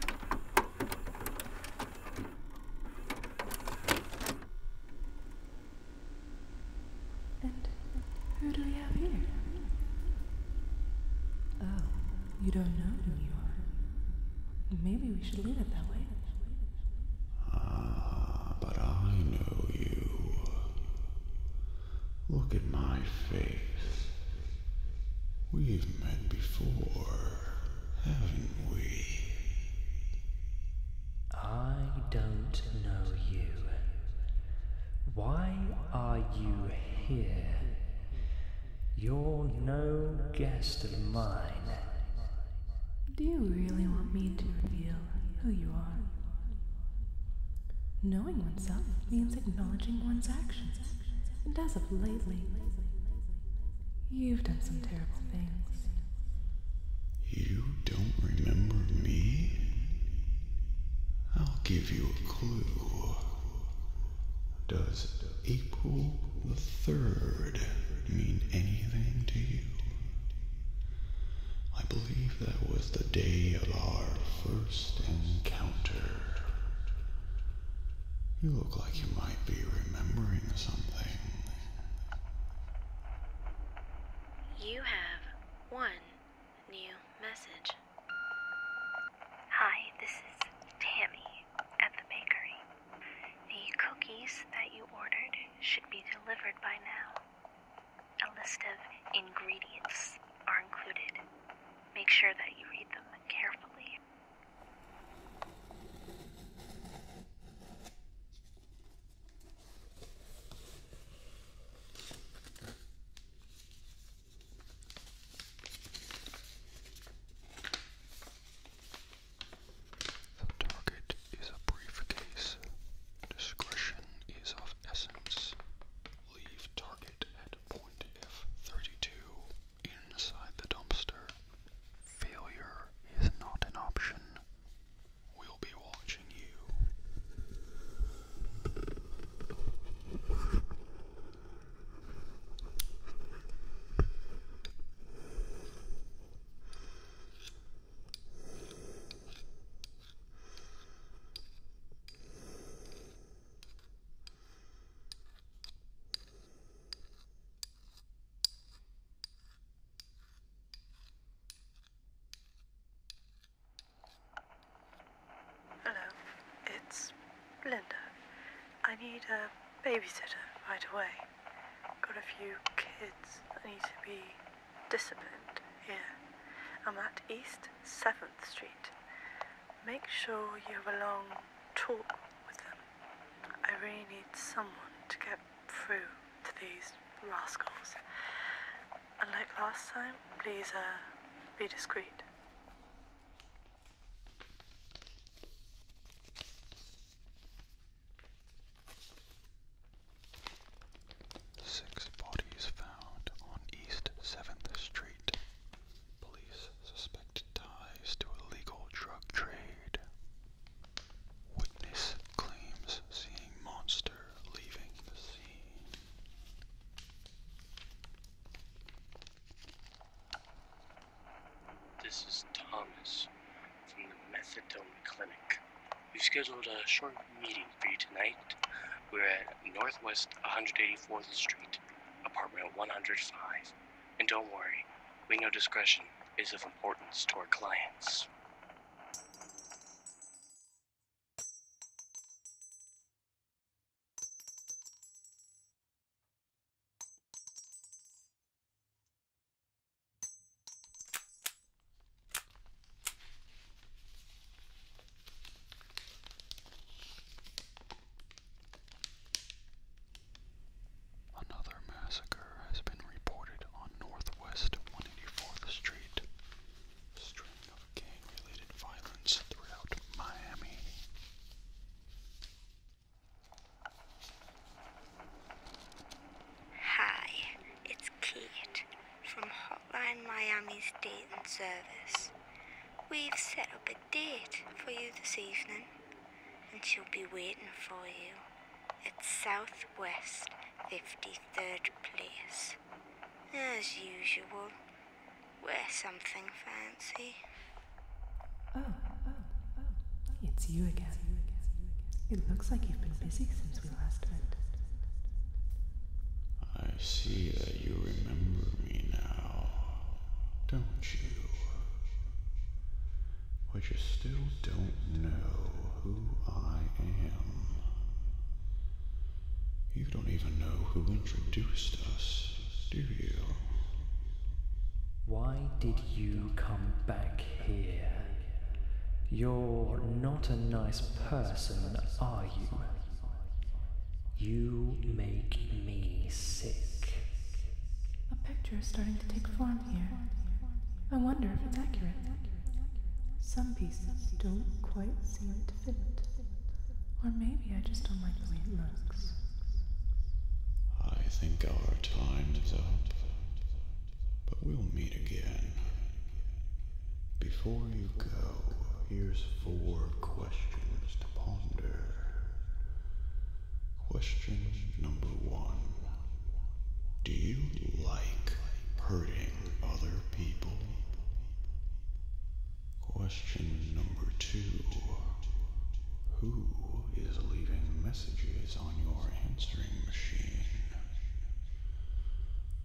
And who do we have here? Oh, you don't know who you are. Maybe we should leave it that way. Ah, but I know you. Look at my face. We've met before, haven't we? I don't know you. Why are you here? You're no guest of mine. Do you really want me to reveal who you are? Knowing oneself means acknowledging one's actions. And as of lately, you've done some terrible things. You don't remember me? I'll give you a clue. Does April the 3rd mean anything to you? I believe that was the day of our first encounter. You look like you might be remembering something. You have one new message. Hi, this is Tammy at the bakery. The cookies that you ordered should be delivered by now. A list of ingredients are included. Make sure that you read them carefully. The target is a briefcase. Discretion is of essence. Leave target at point F32 inside the dumpster. Failure is not an option. We'll be watching you. Hello, it's Linda. I need a babysitter right away. Got a few kids that need to be disciplined here. I'm at East 7th Street. Make sure you have a long talk I really need someone to get through to these rascals. And like last time, please uh, be discreet. Six bodies found on East 7th Street. Police suspect ties to illegal drug trade. Witness claims seeing monster leaving the scene. This is Thomas from the Methadone Clinic. We've scheduled a short meeting for you tonight. We're at Northwest 184th Street, apartment 105. And don't worry, we know discretion is of importance to our clients. Another massacre has been reported on Northwest 184th Street. String of gang-related violence throughout Miami. Hi, it's Kate from Hotline Miami's Dayton service. We've set up a date for you this evening, and she'll be waiting for you at Southwest 53rd Place. As usual, wear something fancy. oh, oh, oh. It's you again. It looks like you've been busy since we last met. I see that you remember me now don't you? But you still don't know who I am. You don't even know who introduced us, do you? Why did you come back here? You're not a nice person, are you? You make me sick. A picture is starting to take form here. I wonder if it's accurate. Some pieces don't quite seem to fit. Or maybe I just don't like the way it looks. I think our time's up. But we'll meet again. Before you go, here's four questions to ponder. Question number one Do you like hurting other people? Question number two Who is leaving messages on your answering machine?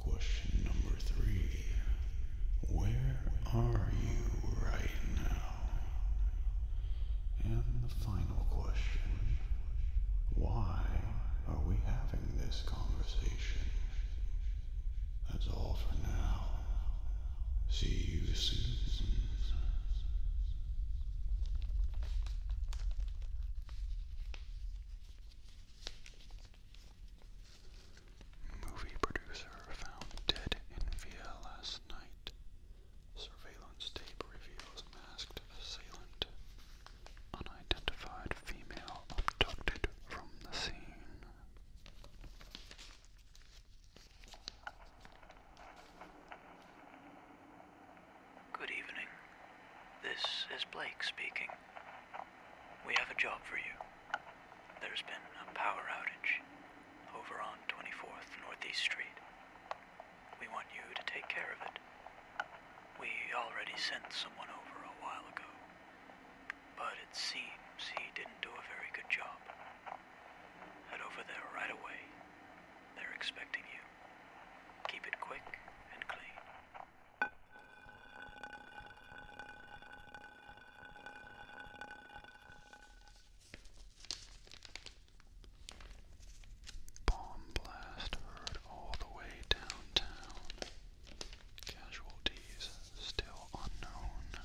Question number three Where are you right now? And the final question why are we having this conversation? That's all for now. See you soon. Movie producer found dead in VLS night. Surveillance tape reveals masked assailant. Unidentified female abducted from the scene. Good evening. This is Blake speaking. We have a job for you. There's been a power outage over on 24th Northeast Street. We want you to take care of it. We already sent someone over a while ago, but it seems he didn't do a very good job. Head over there right away. They're expecting you. Keep it quick and clean. Bomb blast heard all the way downtown. Casualties still unknown.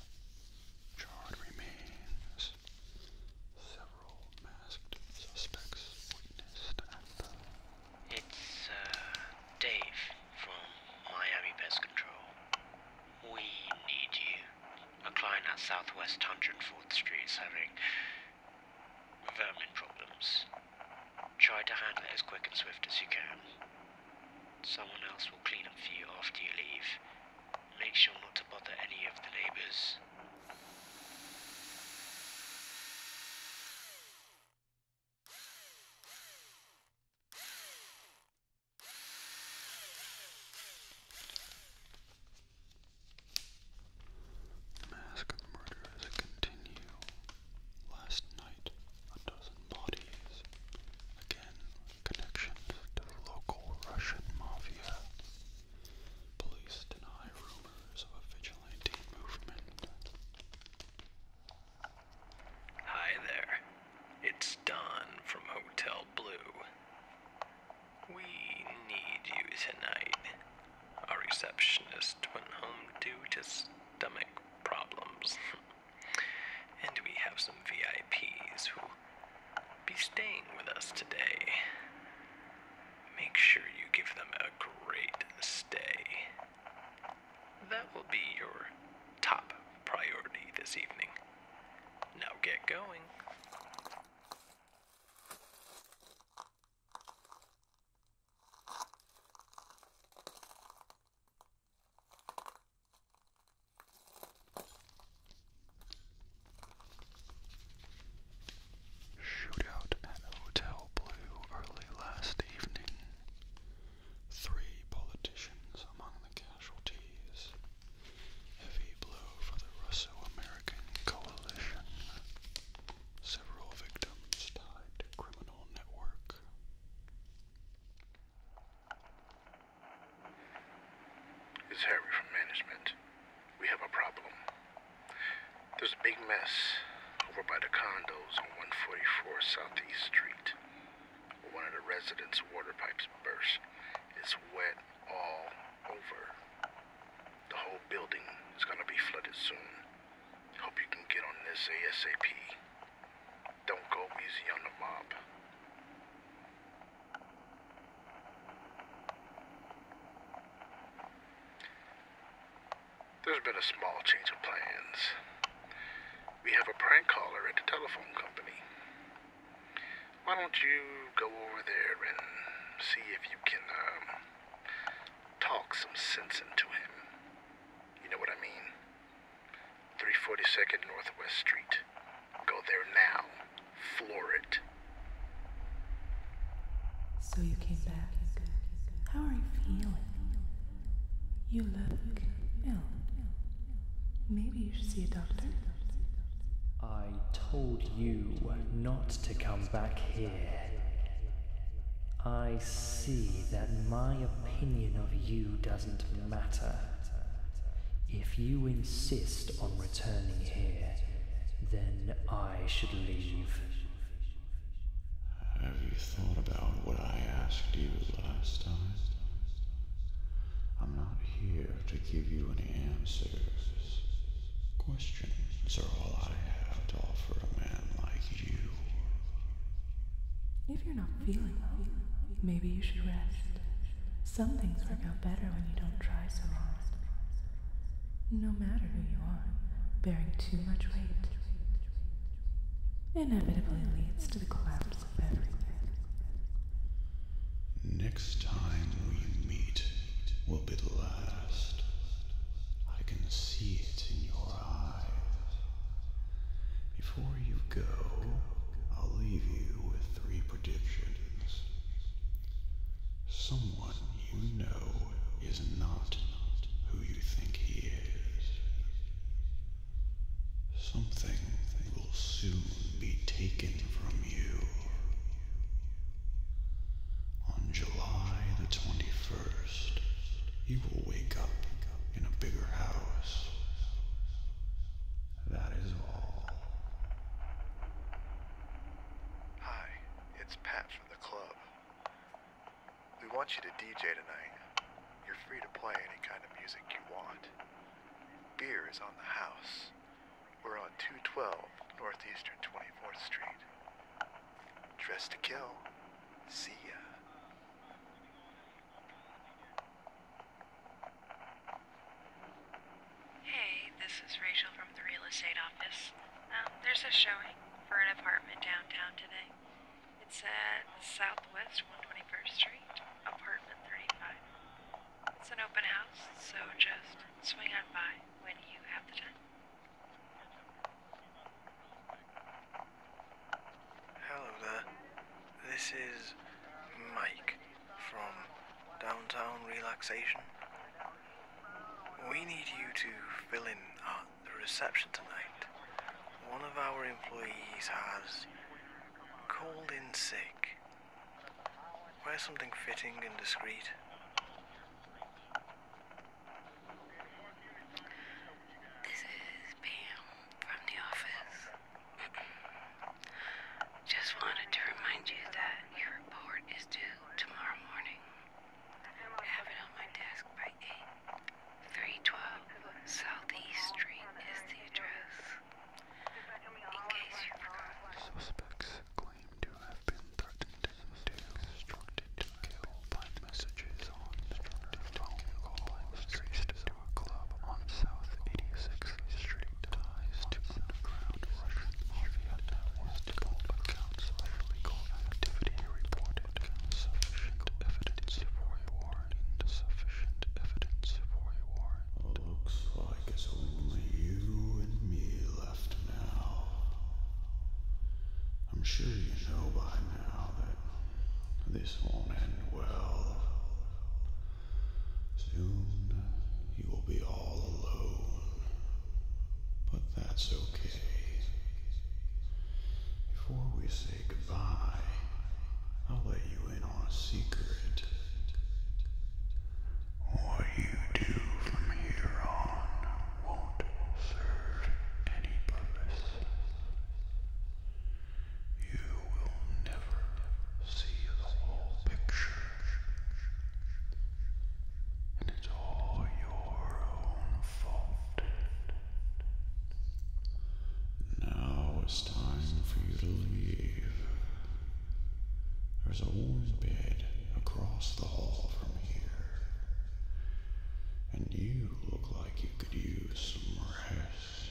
Charred remains. Several masked suspects It's uh, Dave from Miami Pest Control. We need you. A client at Southwest 104th Street is having vermin problems. Try to handle it as quick and swift as you can. Someone else will clean up for you after you leave. Make sure not to bother any of the neighbors. Mask of the murderers continue. Last night, a dozen bodies. Again, connections to local Russian mafia. Police deny rumors of a vigilante movement. Hi there. It's Don from Hotel Blue. We need you tonight. Our receptionist went home due to stomach problems. and we have some VIPs who will be staying with us today. Make sure you give them a great stay. That will be your top priority this evening. Now get going. Shootout at Hotel Blue early last evening. Three politicians among the casualties. Heavy blow for the Russo-American coalition. Several victims tied to criminal network. It's Harry from management. We have a problem. There's a big mess over by the condos on 144 Southeast Street one of the residents' water pipes burst. It's wet all over. The whole building is gonna be flooded soon. Hope you can get on this ASAP. Don't go easy on the mob. There's been a small change of plans. We have a prank caller at the telephone company. Why don't you go over there and see if you can um, talk some sense into him? You know what I mean? 342nd Northwest Street. Go there now. Floor it. So you came back. How are you feeling? You look ill. Maybe you should see a doctor. I told you not to come back here. I see that my opinion of you doesn't matter. If you insist on returning here, then I should leave. Have you thought about what I asked you last time? I'm not here to give you any answers. Questions are all I have to offer a man like you. If you're not feeling well, maybe you should rest. Some things work out better when you don't try so hard. No matter who you are, bearing too much weight inevitably leads to the collapse Next time we meet will be the last. I can see it in your eyes. Before you go, I'll leave you with three predictions. Someone you know is not who you think he is. Something will soon be taken from you. On July the 21st, you will wake up in a bigger house. That is all. Hi, it's Pat from the club. We want you to DJ tonight. You're free to play any kind of music you want. Beer is on the house. We're on 212 Northeastern 24th Street. Dressed to kill. See ya. Hey, this is Rachel from the real estate office. Um, there's a showing for an apartment downtown today. It's at Southwest 121st Street, apartment 35. It's an open house, so just swing on by when you have the time. Hello there. This is Mike from Downtown Relaxation. We need you to fill in at the reception tonight. One of our employees has called in sick Wear something fitting and discreet. This is Pam from the office. Just wanted to remind you that your report is due tomorrow morning. have it on my desk by 8. 312 Southeast Street is the address case Suspects claim to have been threatened and instructed to kill by messages on phone calls traced to a club on South 86th Street. Ties to underground Russian mafia multiple accounts of illegal activity reported. Sufficient evidence for a warrant. Sufficient evidence for a warrant. Looks like it's only you and me left now. I'm sure you know by now that this won't end well. Soon you will be all alone. But that's okay. Before we say goodbye, I'll let you you in our secret. What you do from here on won't serve any purpose. You will never see the whole picture. And it's all your own fault. Now time for you to leave. There's a warm bed across the hall from here. And you look like you could use some rest.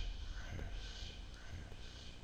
rest, rest